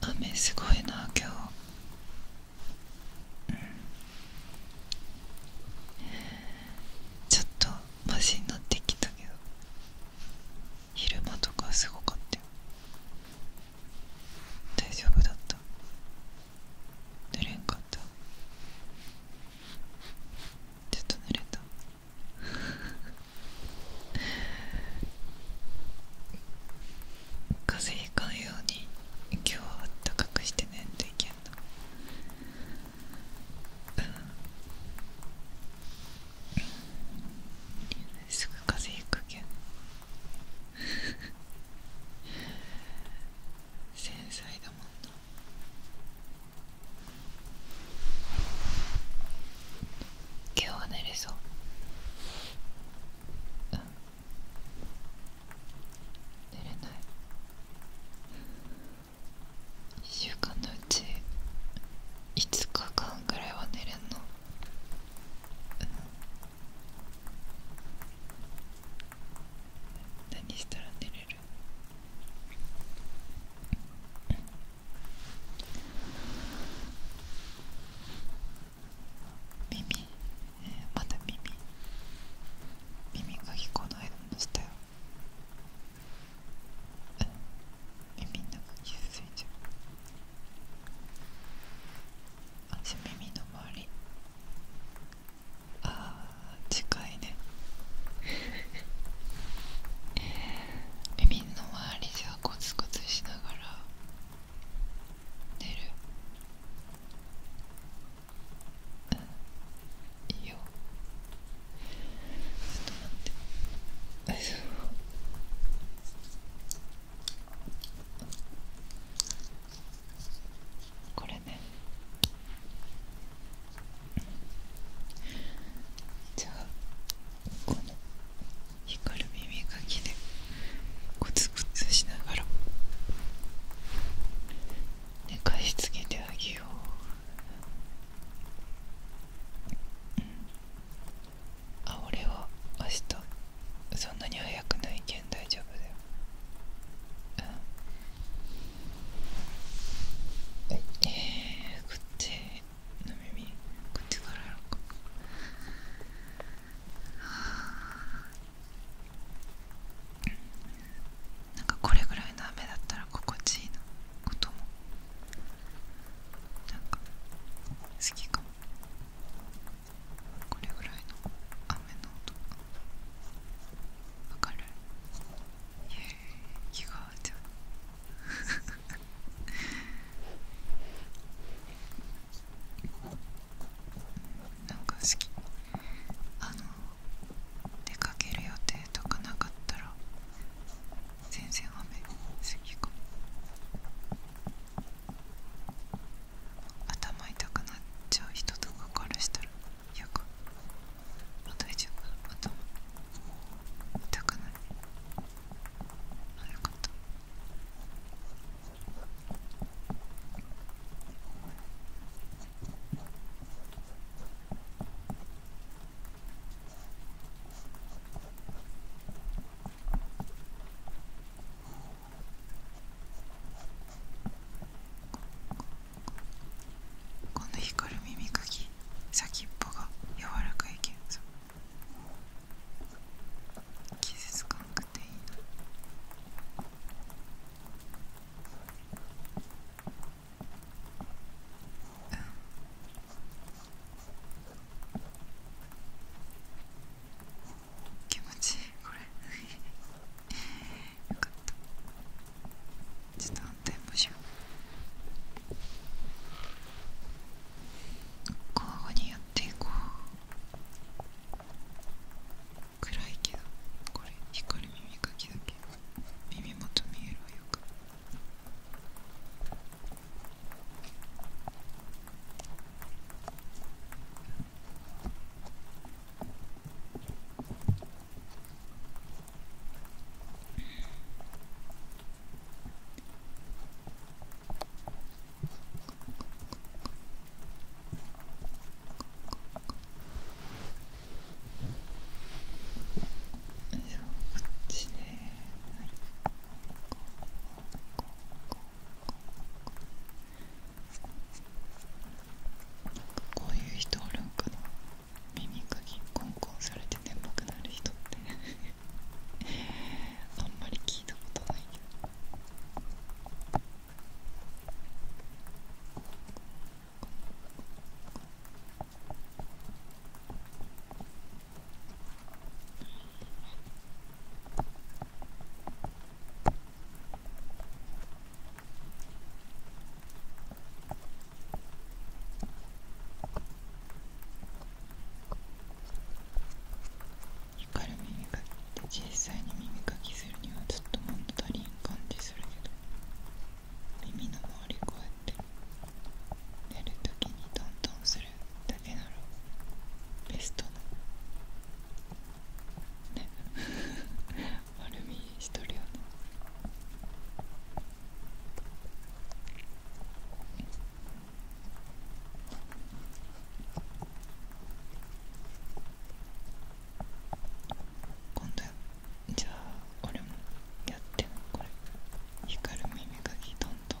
雨すごいな今日、ちょっとマシになってきたけど昼間とかすごかったよ大丈夫だった寝れんかったちょっと寝れた風邪ひかんように今日はあったかくしてねんといけんのうんすぐ風邪ひくけん 繊細だもんな今日は寝れそう、うん、寝れない1週間のうち5日間ぐらいは寝れんの、うん、何したら寝れる耳、えまた耳耳が聞こないのしたよ耳の中傷ついちゃう足耳の周りあー近いね耳の周りじゃコツコツしながら寝るうんいいよちょっと待ってあこれねじゃあこの光る耳かきでコツコツしながら寝かしつけてあげよう、うん、あ俺は明日そんなに早くないけん大丈夫だようんえー、こっちの耳こっちからやろうかなんかこれぐらいの雨だったら心地いいなこともなんか好きかもこれぐらいの雨の音わかる you you got なんか好きあの出かける予定とかなかったら全然雨好きか頭痛くなっちゃう人とかからしたら嫌かもう大丈夫頭痛くないあよかったここの光る耳かき先っぽが柔らかいけんさ傷つかんくていいなうん気持ちいいこれよかったちょっと反対もしよう交互にやっていこう暗いけどこれ光る耳かきだけ耳元見えるわよかくちで、はい、こういう人おるんかな耳かきコンコンされて眠くなる人ってあんまり聞いたことないけどこ光る耳かきって実際に耳かきするにはずっと物足りん感じするけど耳の周りこうやって寝るときにトントンするだけならベストなね丸みしとるよ今度じゃあ俺もやってこれ光る耳かきトントン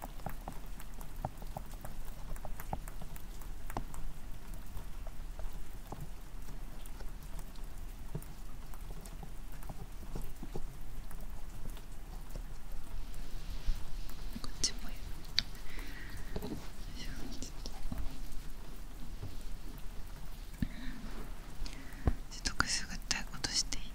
こっちもやるちょっとくすぐったいことしていい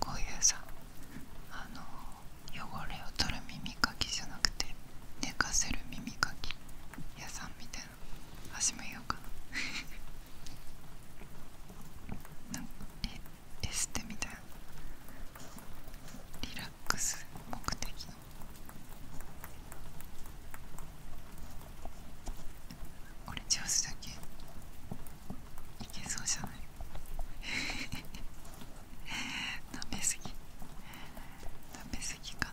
こういうさあの汚れを取る耳かきじゃなくて寝かせる耳かき屋さんみたいな始めようかな なんえエステみたいなリラッラッ目的のオレンジハスだけいけそうじゃない食べ過ぎ食べ過ぎかな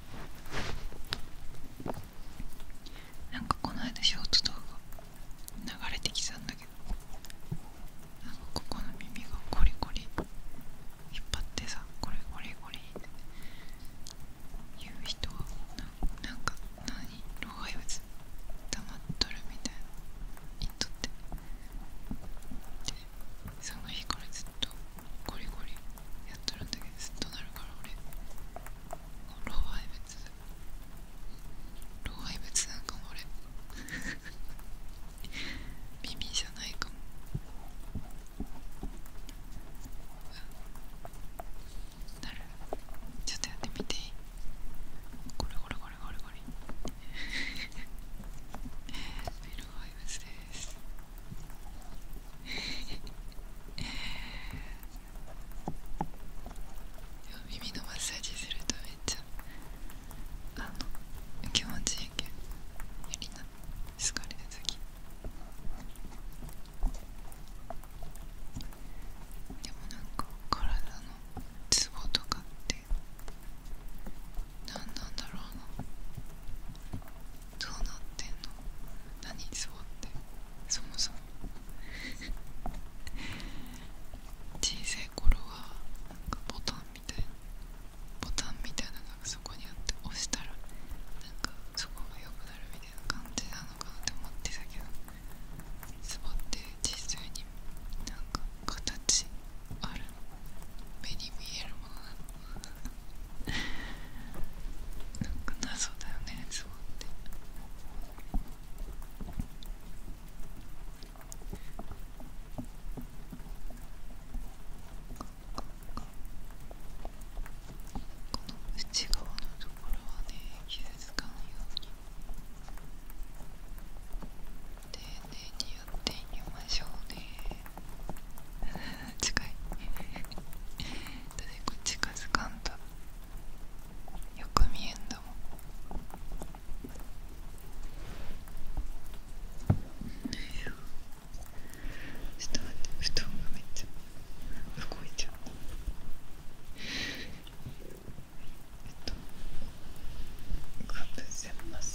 なんかこの間ショート動画流れてきたんだけどなんかここの耳がコリコリ引っ張ってさコリコリコリって言う人はななんか何老廃物溜まっとるみたいな言っとってでその日からずっとゴリゴリやっとるんだけどずっとなるから俺老廃物老廃物なんかも俺ビ じゃないかもなるちょっとやってみていいゴリゴリゴリゴリゴリロハイブスです耳のマッサージするとめっちゃあの気持ちいいけどやりな疲れた時でもなんか体のツボとかって何なんだろうなどうなってんの何そうってそもそも小さい頃はなんかボタンみたいなボタンみたいなのがそこにあって押したらなんかそこが良くなるみたいな感じなのかなって思ってたけどツボって実際になんか形ある目に見えるものなんなんかだよねズボってこの内側のところはね傷つかなように丁寧にやっていきましょうね 近いだっこっち近づかんとよく見えんだもんちょっと待って布団がめっちゃ動いちゃうえっとかぶせます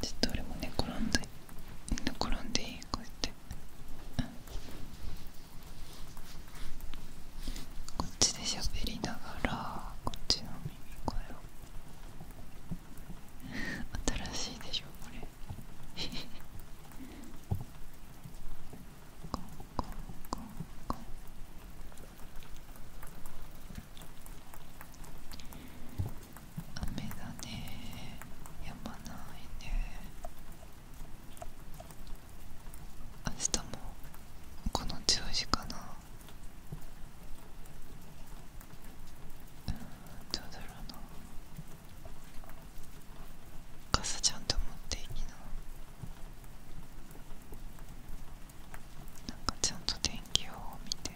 ちょっと俺も寝転んで寝転んでいいこうやって。うんこっちでしゃべりながらこっちの耳かよ。新しいでしょこれコンコンコンコン雨だねやばないね明日もこの10時かなうんどうだろうな傘ちゃんと持っていいななんかちゃんと天気予報を見て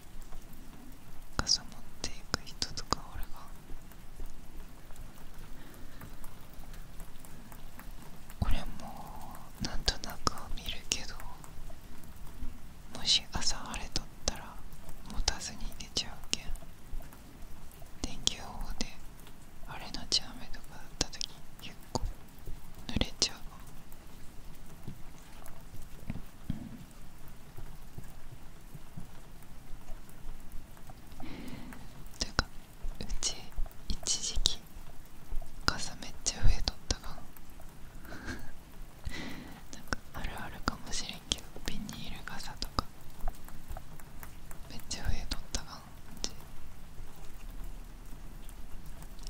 傘持っていく人とか俺がこれもなんとなく見るけどもし朝晴れとったら持たずに出ちゃうけん電気予報で晴れのち雨とかだった時結構濡れちゃうというかうち一時期傘めっちゃ増えとったが なんかあるあるかもしれんけどビニール傘とかめっちゃ増えとったがんち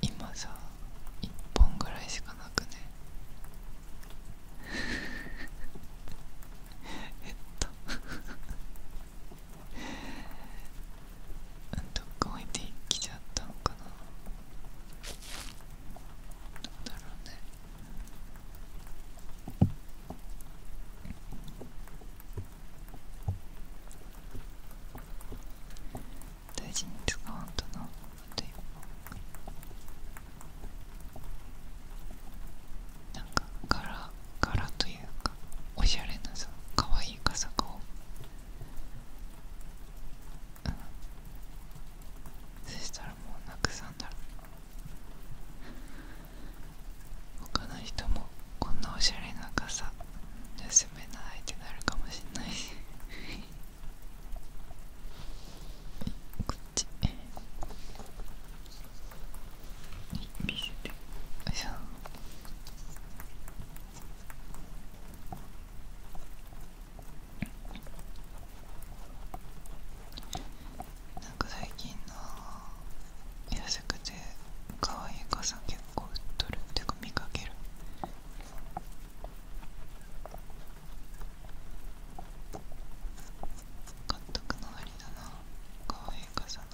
今さ1本ぐらいしかなくね えっとどっか置いてきちゃったのかななんだろうね大事にと使わんとなあと一本なんか柄柄というかおしゃれなさかわいい傘か。うそしたらもうなくさんだろ他の人もこんなおしゃれな傘盗めないってなるかもしんないし こっち見せよいしょなんか最近の安くて可愛い傘結構売っとるってか見かける買っとくのありだなかわいい傘のこ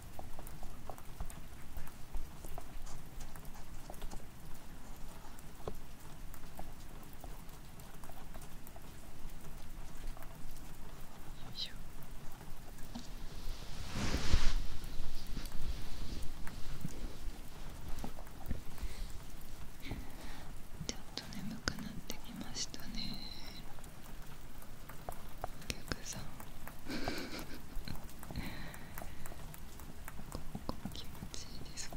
ちょっと眠くなってきましたねお客さんここ気持ちいいですか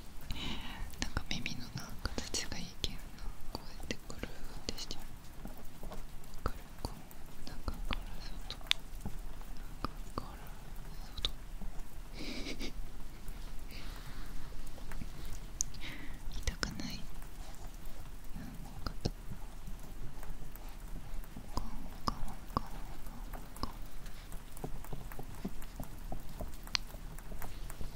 なんか耳のな形がいけどなこうやってくるってして。ゃうくるこうなんかから外なんかから外痛くないなんかとコンコンコンコンコン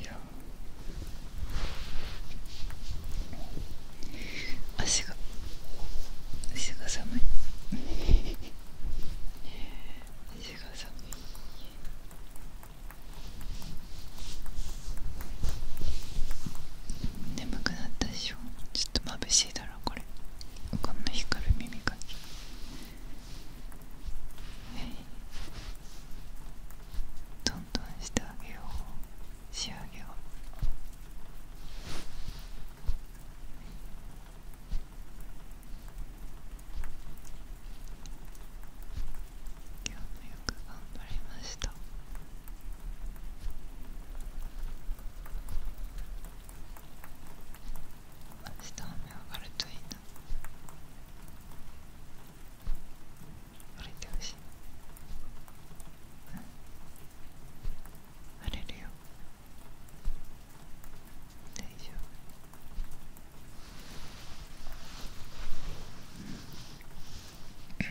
いや足が足が寒い足が寒い眠くなったでしょちょっと眩しいだろこれこんな光る耳かきどんどんしてあげよう仕上げを今日もよく頑張りました明日雨上がるといいな。あれてほしい、うん、割れるよ大丈夫うん、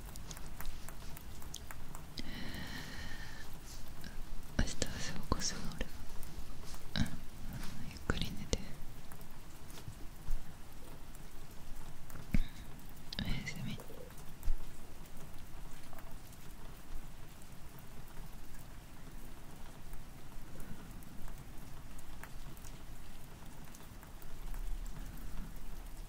明日朝起こそ俺は、うゆっくり寝ておやすみ